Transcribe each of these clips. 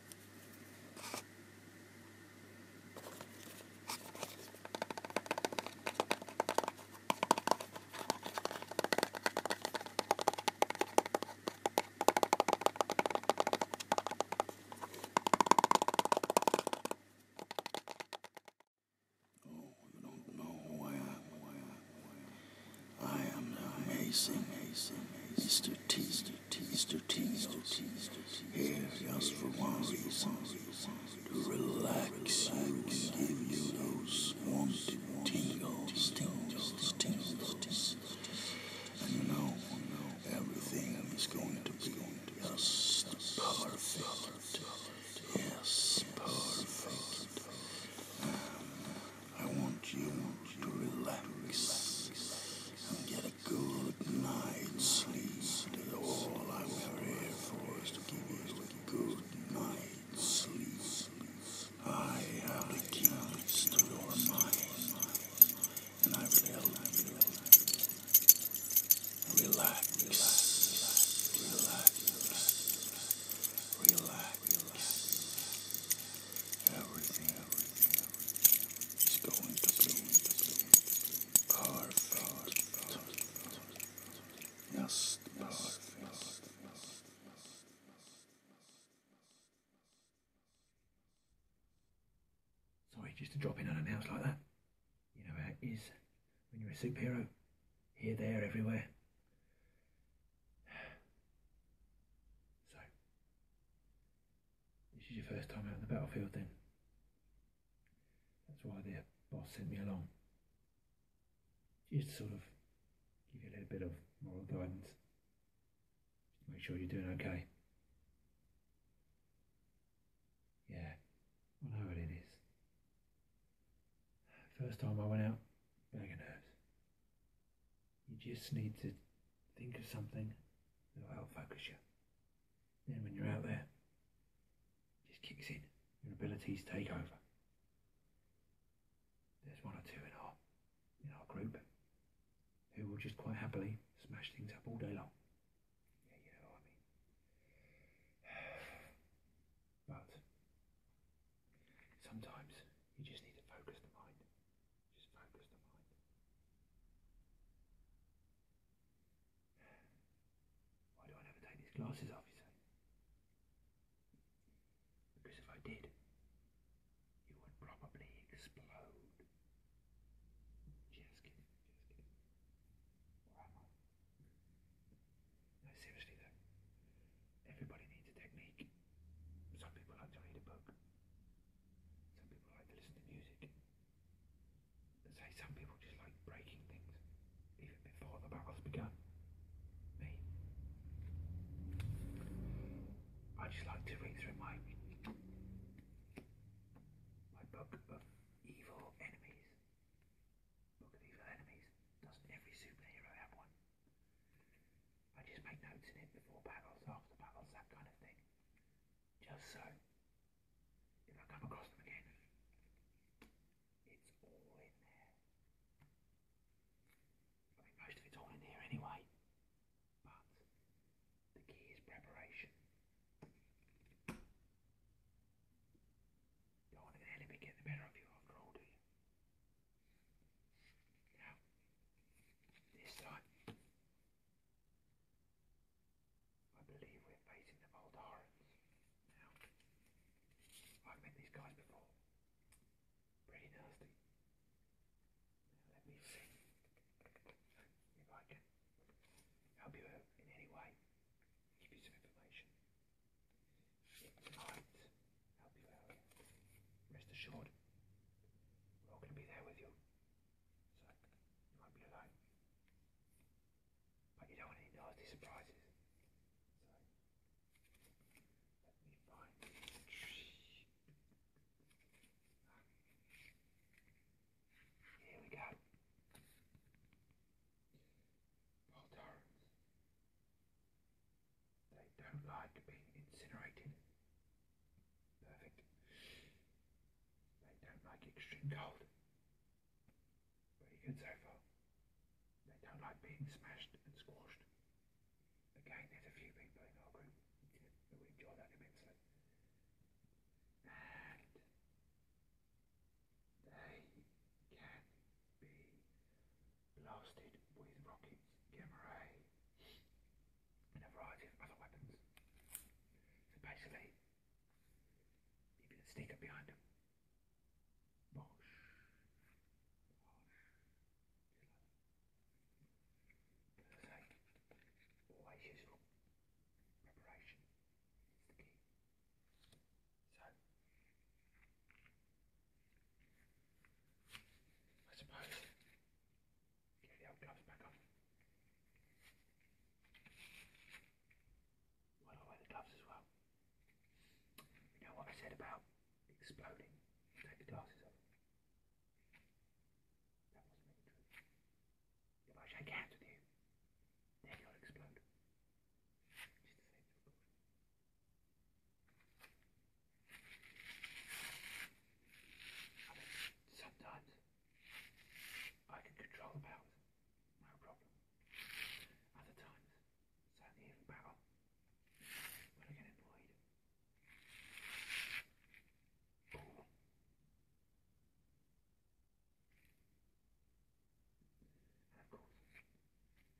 Oh, you don't know who I am. Who I am. Who I am. I am amazing, amazing, Mr. T, Mr. T, Mr. T, Mr. T, here just for one reason, to relax you and give you those wanted tingles, tingles, tingles, and you know, everything is going to be just perfect, yes, perfect. Um, I want you to relax and get a good night's sleep. That all I'm here for is to give you a good night's sleep. I have the keys to your mind, and I will help you relax. Relax. Relax. Sorry, just to drop in on a house like that. You know how when you're a superhero. Here, there, everywhere. So, this is your first time out on the battlefield then. That's why the boss sent me along. Just sort of give you a little bit of moral guidance. Just to make sure you're doing okay. Yeah, I know what it is. First time I went out, bag of nerves. You just need to think of something that will focus you. Then when you're out there, it just kicks in. Your abilities take over. There's one or two in our in our group who will just quite happily smash things up all day long. Yeah, you know I mean. But sometimes you just need to focus the mind just focus the mind. Why do I never take these glasses off, you say? Because if I did, you would probably explode. Just kidding, just kidding. Or am I? No, seriously though, everybody needs a technique. Some people like to read a book. Some people like to listen to music. And say some people just like breaking things even before the battle's begun. Me. I just like to read through my my book of evil enemies. Book of evil enemies. does every superhero have one? I just make notes in it before battles, after battles, that kind of thing. Just so, if I come across them again, it's all in there. most of it's all in here anyway, but the key is preparation. do want to let it get the better of you after all, you? Now, this time, I believe we're facing the Voldarans. Now, I've met these guys before. Pretty nasty. let me see if I can help you in any way, give you some information. might help you out. Rest assured, we're all going to be there with you. So you won't be alone. But you don't want any nasty surprises. So let me find the tree. Here we go. Paul they don't like being incinerated. Perfect. They don't like extreme cold. Pretty good so far. They don't like being smashed and squashed. Again, there's a few people in our group who enjoy that immensely. And they can be blasted with rockets, gamma ray, and a variety of other weapons. So basically, you can sneak up behind them. Bosh. Bosh. But always useful. Preparation is the key. So, I suppose Get the old gloves back on. Why not the gloves as well? You know what I said about exploding? Take the glasses off. That wasn't really true. If I shake hands with you, then you'll explode. I mean, sometimes I can control the pounds, no problem. Other times, it's only even when I get annoyed. And of course,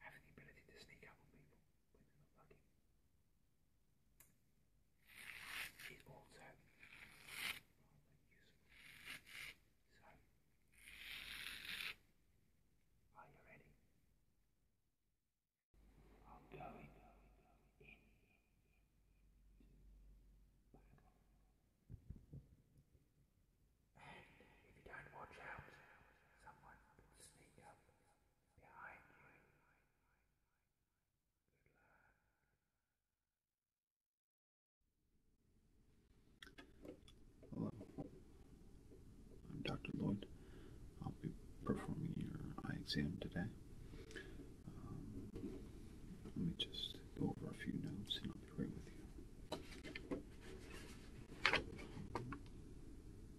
having the ability to sneak up on people within the buggy. rather useful. So, are you ready? I'm going in. And if you don't watch out, someone will sneak up behind you I'm Dr. Lloyd. I'll be performing your eye exam today. Um, let me just go over a few notes and I'll be right with you.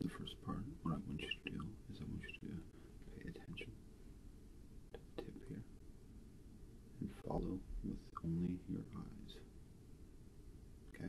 the first part, what I want you to do is I want you to pay attention to the tip here and follow with only your eyes. Okay?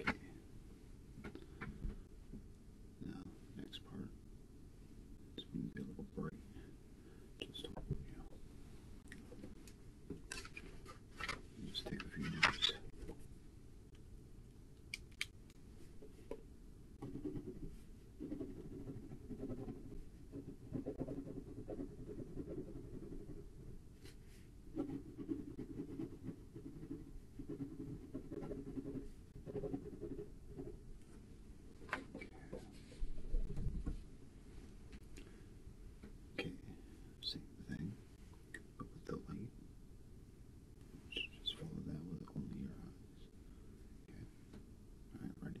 Okay. Now, next part is going to a little Just hold you. just take a few minutes. Okay, same thing, but with the light. just follow that with only your eyes. Okay, alright, ready?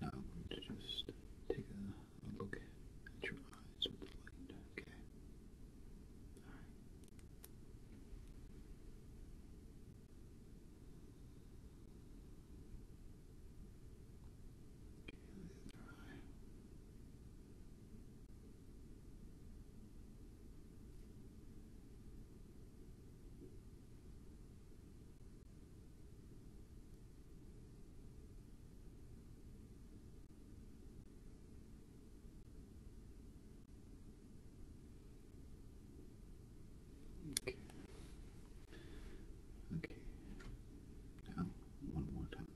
Now I'm going to just take a, look at your eyes with the light, okay? Alright. Okay, the other eye. Okay. Okay. Okay. Now, one more time.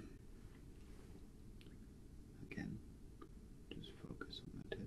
Again, just focus on the tip.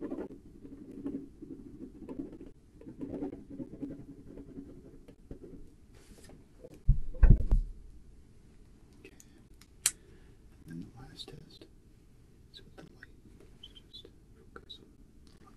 And then the last test is with the light. So just focus on the light. Okay.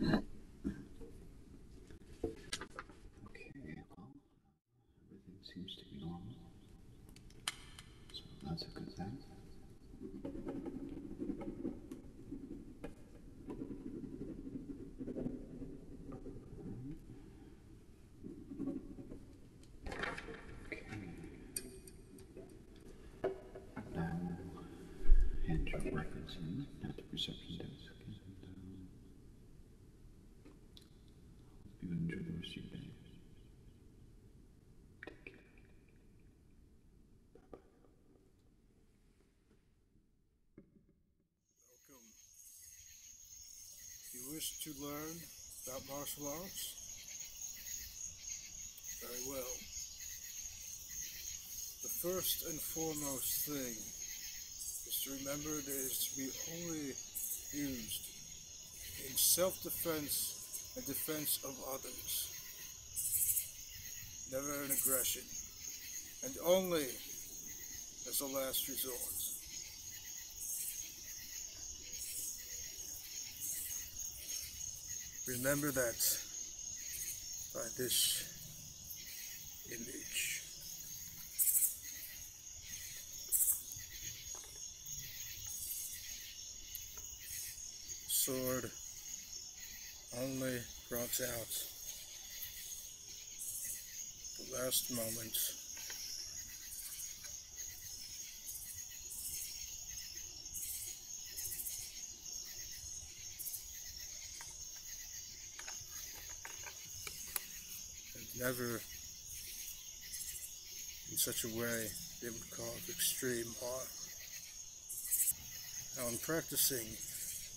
Okay. Okay, everything seems to be normal. So that's a good thing. Okay. Now, hand your reference not the reception desk. And, hope you enjoy the rest of your day. Take care. Bye-bye. If you wish to learn about martial arts, very well. The first and foremost thing is to remember that it is to be only used in self-defense and defense of others. Never in aggression. And only as a last resort. Remember that by this image. Sword only brought out the last moments. never in such a way they would call extreme harm. Now in practicing,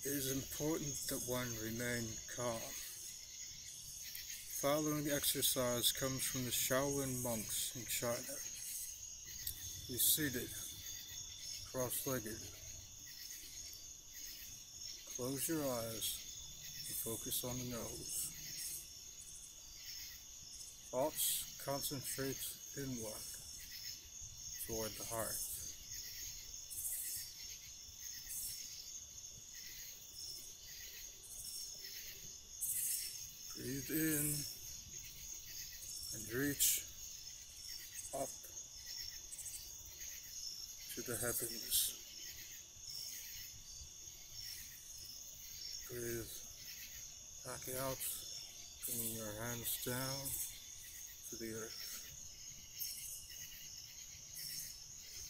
it is important that one remain calm Following exercise comes from the Shaolin monks in China. Be seated, cross-legged. Close your eyes and focus on the nose. Thoughts concentrate inward toward the heart. Breathe in and reach up to the heavens. Breathe back out, bring your hands down to the earth.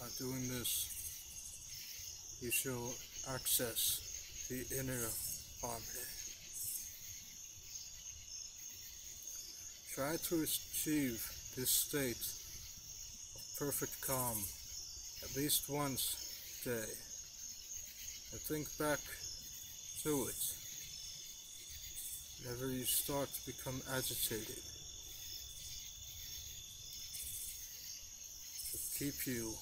By doing this, you shall access the inner harmony. Try to achieve this state of perfect calm at least once a day and think back to it Whenever you start to become agitated, to keep you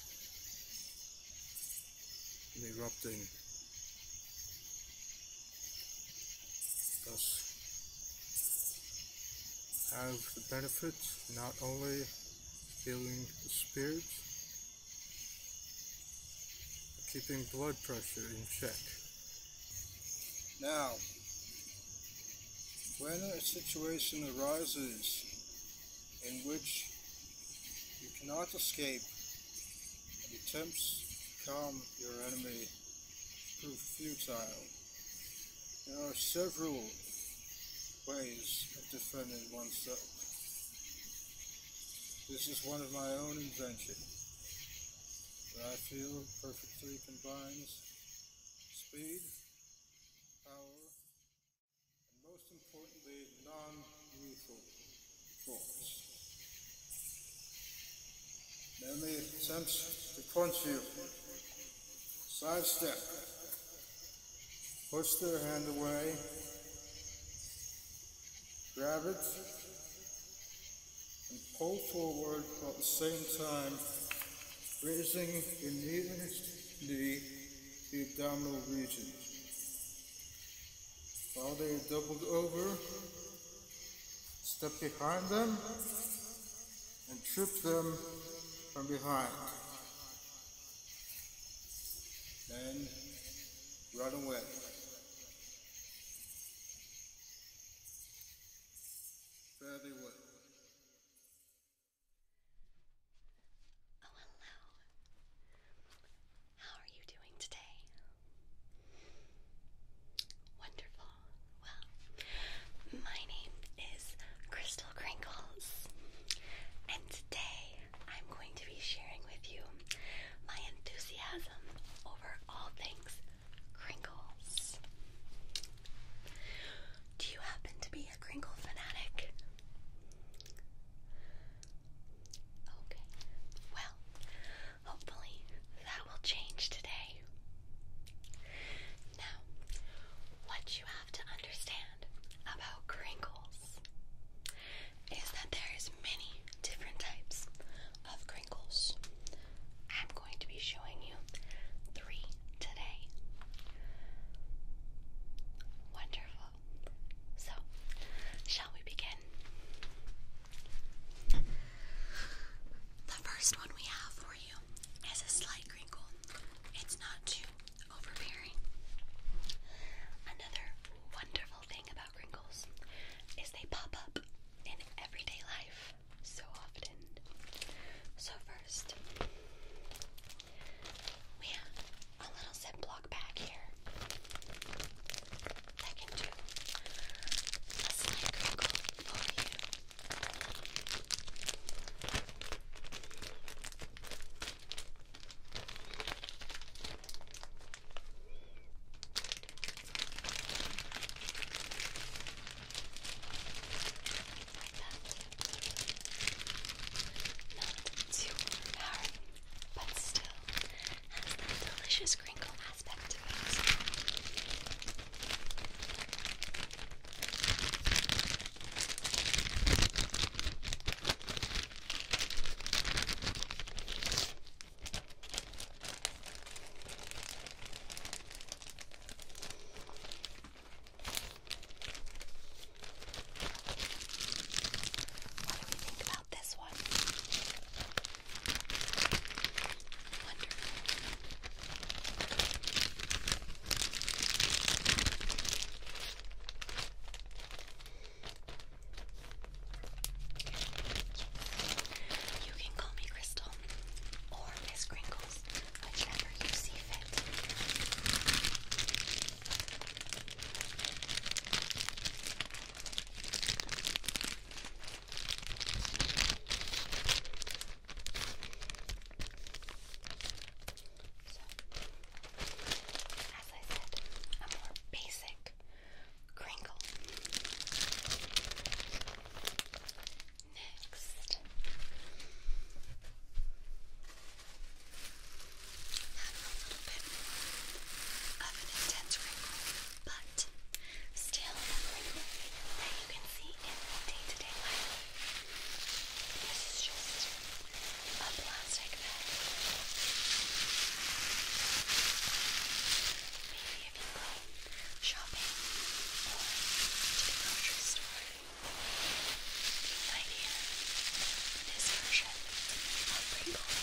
erupting, thus have the benefit not only healing the spirit, keeping blood pressure in check. Now, when a situation arises in which you cannot escape and attempts to calm your enemy prove futile, there are several ways of defending oneself. This is one of my own invention. I feel perfectly combines speed, power, and most importantly, non-lethal force. Then it attempts to punch you, sidestep, push their hand away, grab it, and pull forward at the same time, raising the nearest the abdominal regions. While they are doubled over, step behind them and trip them from behind. Then run away. Fare well. Oh, hello. How are you doing today? Wonderful. Well, my name is Crystal Crinkles, and today I'm going to be sharing with you my enthusiasm over all things Crinkles. Do you happen to be a Kringle fanatic? Okay. Well, hopefully that will change today. Now, what you have to understand about Kringles is that there is many different types of crinkles. I'm going to be showing you three today. Wonderful. So, shall we begin? The first one we have for you is a slight crinkle. It's not too overbearing. Another wonderful thing about crinkles is they pop up in everyday life so often. So, first, we have a little zip bag here that can a slight crinkle for you. Not too hard, but still has that delicious crinkle aspect to it. What do we think about this one? Wonderful. You can call me Crystal or Miss Crinkles, whichever you see fit. So, as I said, a more basic crinkle. Next, have a little bit of an intense wrinkle, but still a wrinkle that you can see in day-to-day life. This is just a plastic bag if you go shopping or to the grocery store, right here, this version of Pringles. Now,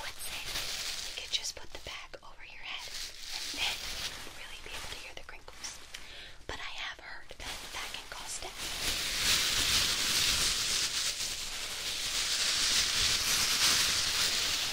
What's it? You could just put the bag over your head and then you would really be able to hear the crinkles. But I have heard that that can cause death.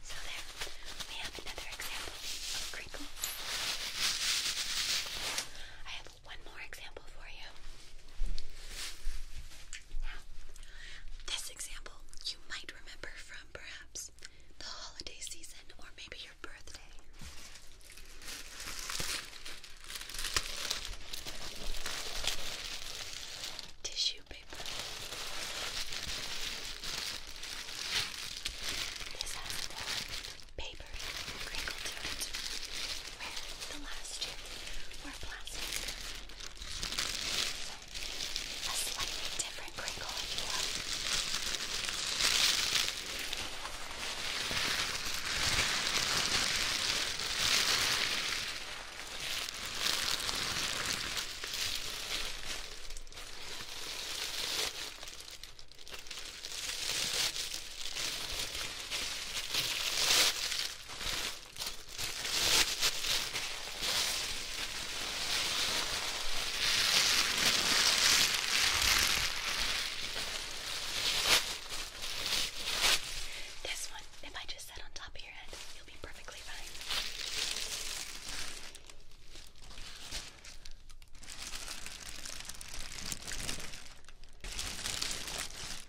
So there, we have another example of crinkles. I have one more example for you. this example you might remember from perhaps the holiday season or maybe your birthday. Tissue paper. This has papery crinkle to it, where the last two were plastic. So, a slightly different crinkle if you will. Now, this one, if I just set on top of your head, you'll be perfectly fine.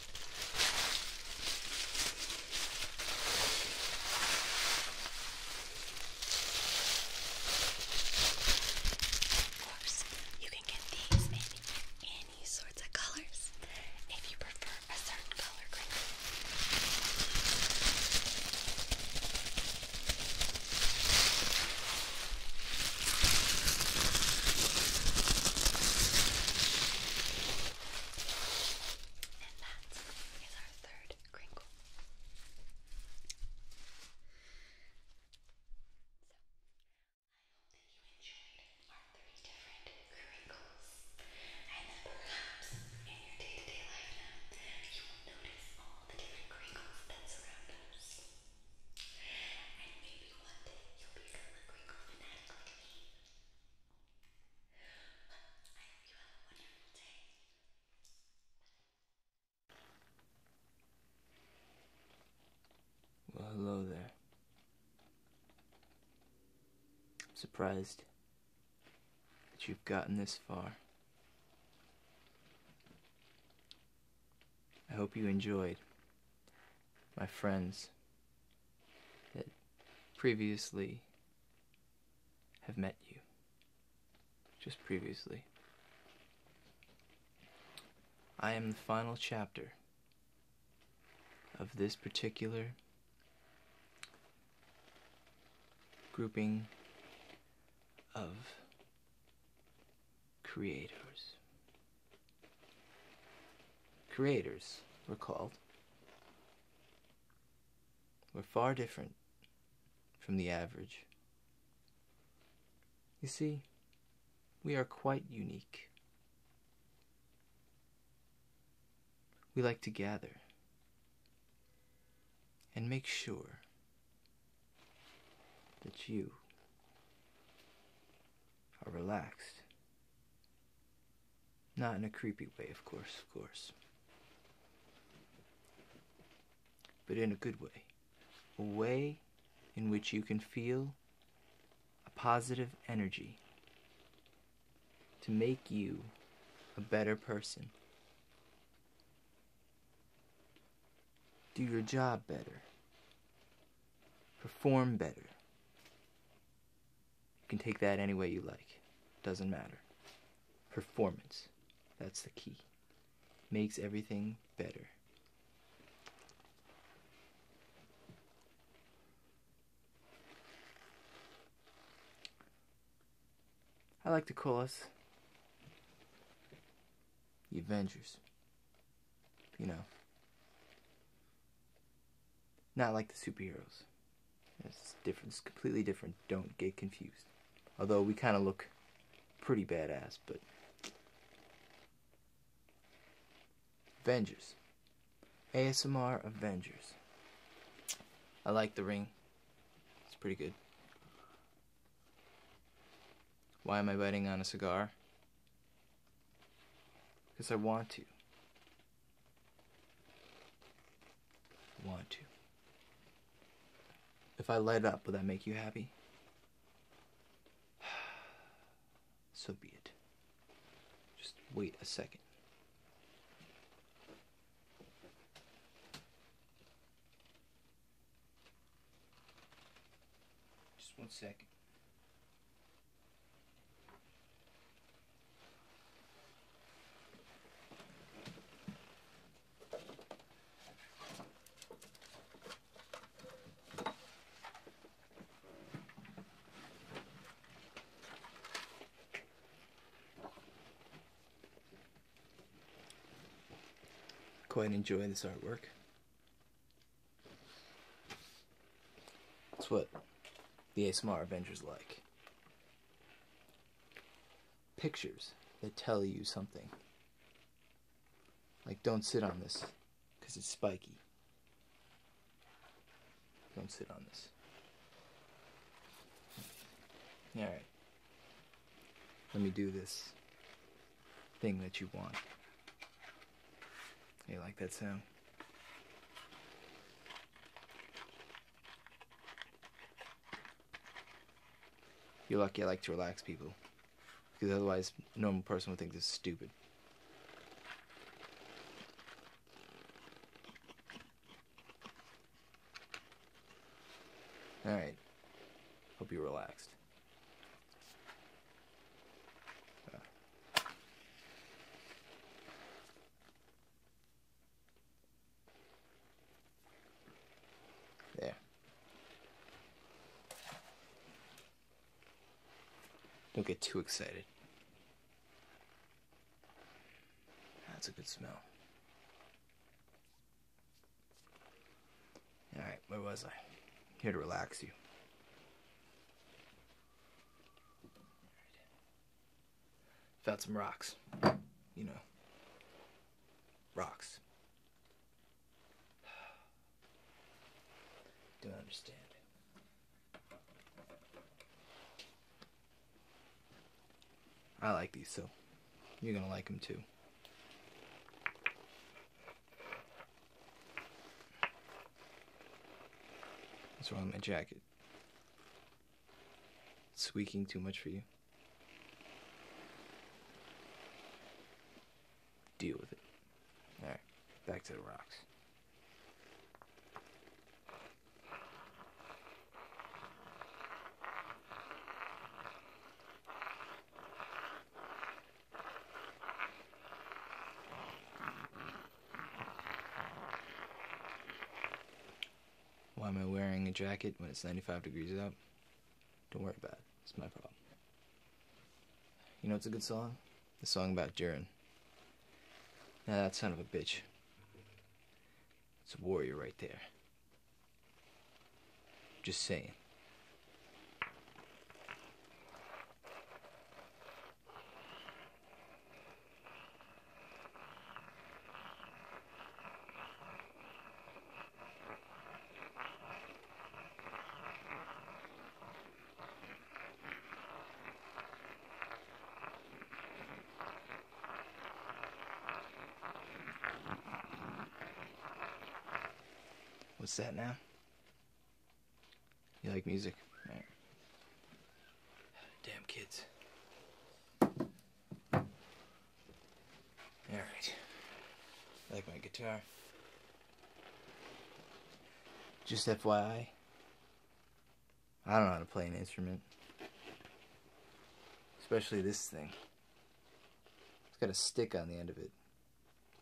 Of course, you can get these in any sorts of colors if you prefer a certain color grade. And that is our third crinkle. So, I hope that you enjoyed our three different crinkles. And then perhaps in your day to day life now, you will notice all the different crinkles that surround us. And maybe one day you'll become a crinkle fanatic like me. Well, hello there. I'm surprised that you've gotten this far. I hope you enjoyed my friends that previously have met you. Just previously. I am the final chapter of this particular grouping of creators. Creators, recalled, we're far different from the average. You see, we are quite unique. We like to gather and make sure that you are relaxed not in a creepy way, of course, of course. But in a good way. A way in which you can feel a positive energy to make you a better person. Do your job better. Perform better. You can take that any way you like. Doesn't matter. Performance. That's the key. Makes everything better. I like to call us the Avengers. You know. Not like the superheroes. It's different, it's completely different. Don't get confused. Although we kind of look pretty badass, but Avengers. ASMR Avengers. I like the ring. It's pretty good. Why am I biting on a cigar? Because I want to want to. If I light up, will that make you happy? So be it. Just wait a second. Just one second. Quite enjoy this artwork. That's what the ASMR Avengers like. Pictures that tell you something. Like, don't sit on this, because it's spiky. Don't sit on this. Alright. Let me do this thing that you want. You like that sound? You're lucky I like to relax people. Because otherwise, normal person would think this is stupid. Alright. Hope you're relaxed. There. Don't get too excited. That's a good smell. Alright, where was I? Here to relax you. Found some rocks. You know. Rocks. Don't understand. I like these, so you're gonna like them too. What's wrong with my jacket? squeaking too much for you? Deal with it. Alright, back to the rocks. Why am I wearing a jacket when it's 95 degrees out? Don't worry about it. It's my problem. You know it's a good song? The song about Durin. Now that son of a bitch. It's a warrior right there. Just saying. What's that now? You like music? Damn kids. Alright. I like my guitar. Just FYI, I don't know how to play an instrument. Especially this thing. It's got a stick on the end of it.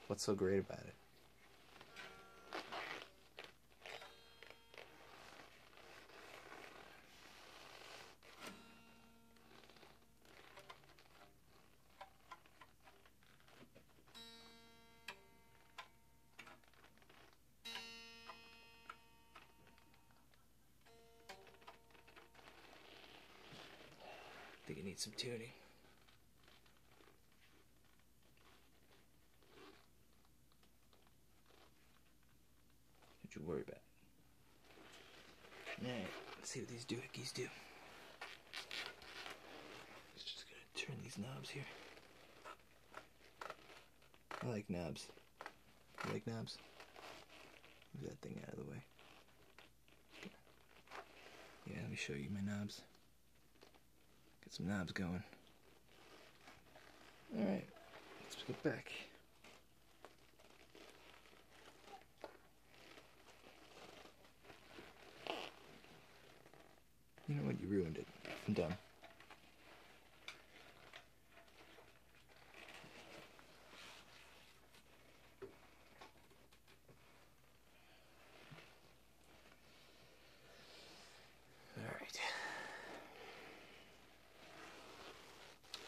What's so great about it? I think it needs some tuning what not you worry about Alright, let's see what these doohickeys do. Just gonna turn these knobs here. I like knobs. I like knobs? Move that thing out of the way. Yeah, let me show you my knobs. Get some knobs going. Alright, let's go back. You know what? You ruined it. I'm done. All right.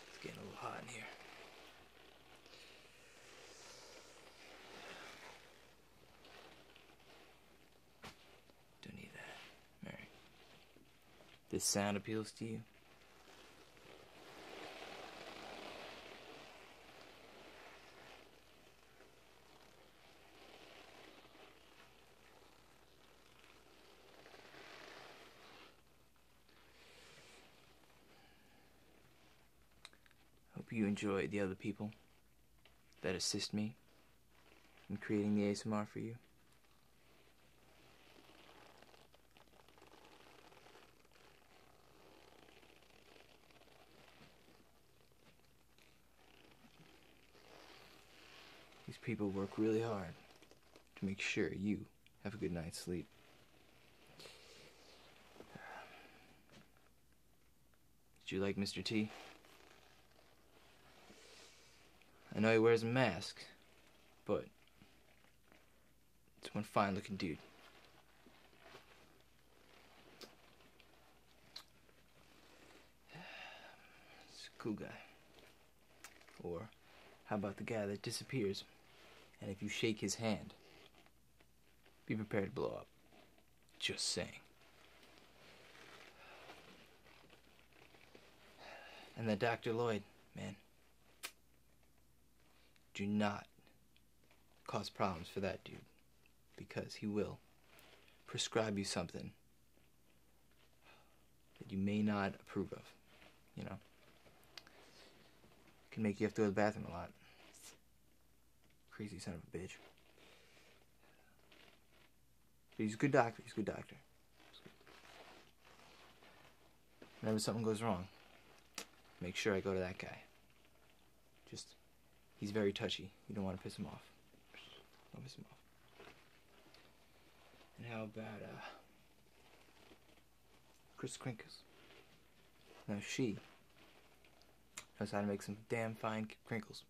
It's getting a little hot in here. Don't need that. All right. This sound appeals to you? Hope you enjoy the other people that assist me in creating the ASMR for you. These people work really hard to make sure you have a good night's sleep. Did you like Mr. T? I know he wears a mask, but it's one fine looking dude. It's a cool guy. Or how about the guy that disappears and if you shake his hand, be prepared to blow up. Just saying. And that Dr. Lloyd, man, do not cause problems for that dude because he will prescribe you something that you may not approve of, you know. can make you have to go to the bathroom a lot. Crazy son of a bitch. But he's a good doctor, he's a good doctor. Whenever something goes wrong, make sure I go to that guy. Just, he's very touchy. You don't want to piss him off. Don't piss him off. And how about uh, Chris Krinkus? Now she knows how to make some damn fine crinkles.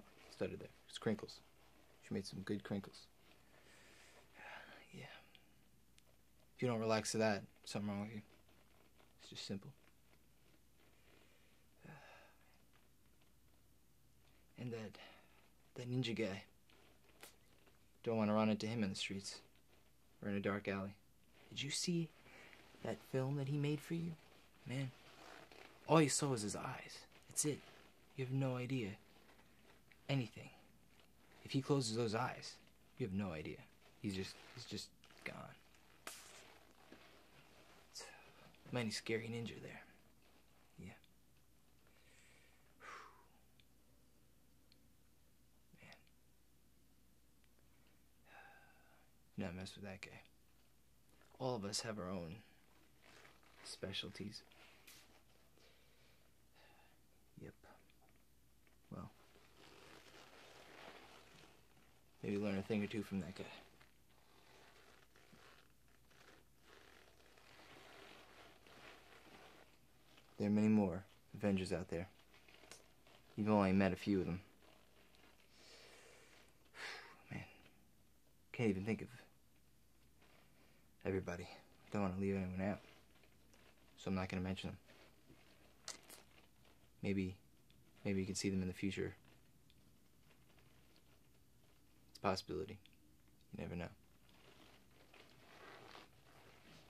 Oh, started there. It's crinkles. She made some good crinkles. Yeah. If you don't relax to that, something wrong with you. It's just simple. And that that ninja guy. Don't want to run into him in the streets or in a dark alley. Did you see that film that he made for you? Man, all you saw was his eyes. That's it. You have no idea. Anything. If he closes those eyes, you have no idea. He's just he's just gone. mighty scary ninja there. Yeah. Not mess with that guy. All of us have our own specialties. Yep. Well, maybe learn a thing or two from that guy. There are many more Avengers out there. You've only met a few of them. Man, can't even think of everybody. Don't want to leave anyone out, so I'm not going to mention them. Maybe, maybe you can see them in the future it's a possibility. You never know.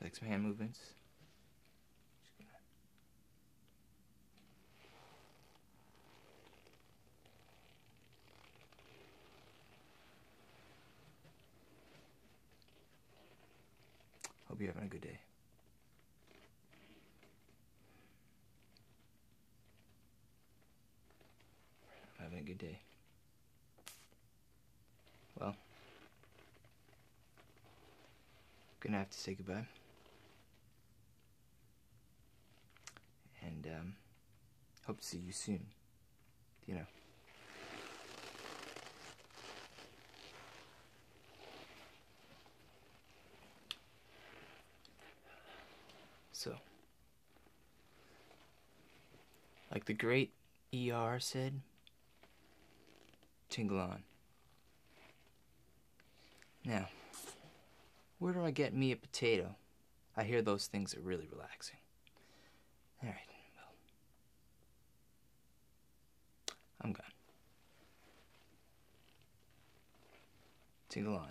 Like some hand movements. Hope you're having a good day. Having a good day. Well, gonna have to say goodbye. And, um, hope to see you soon. You know. So. Like the great ER said, tingle on. Now, where do I get me a potato? I hear those things are really relaxing. All right, well, I'm gone. Tingle on.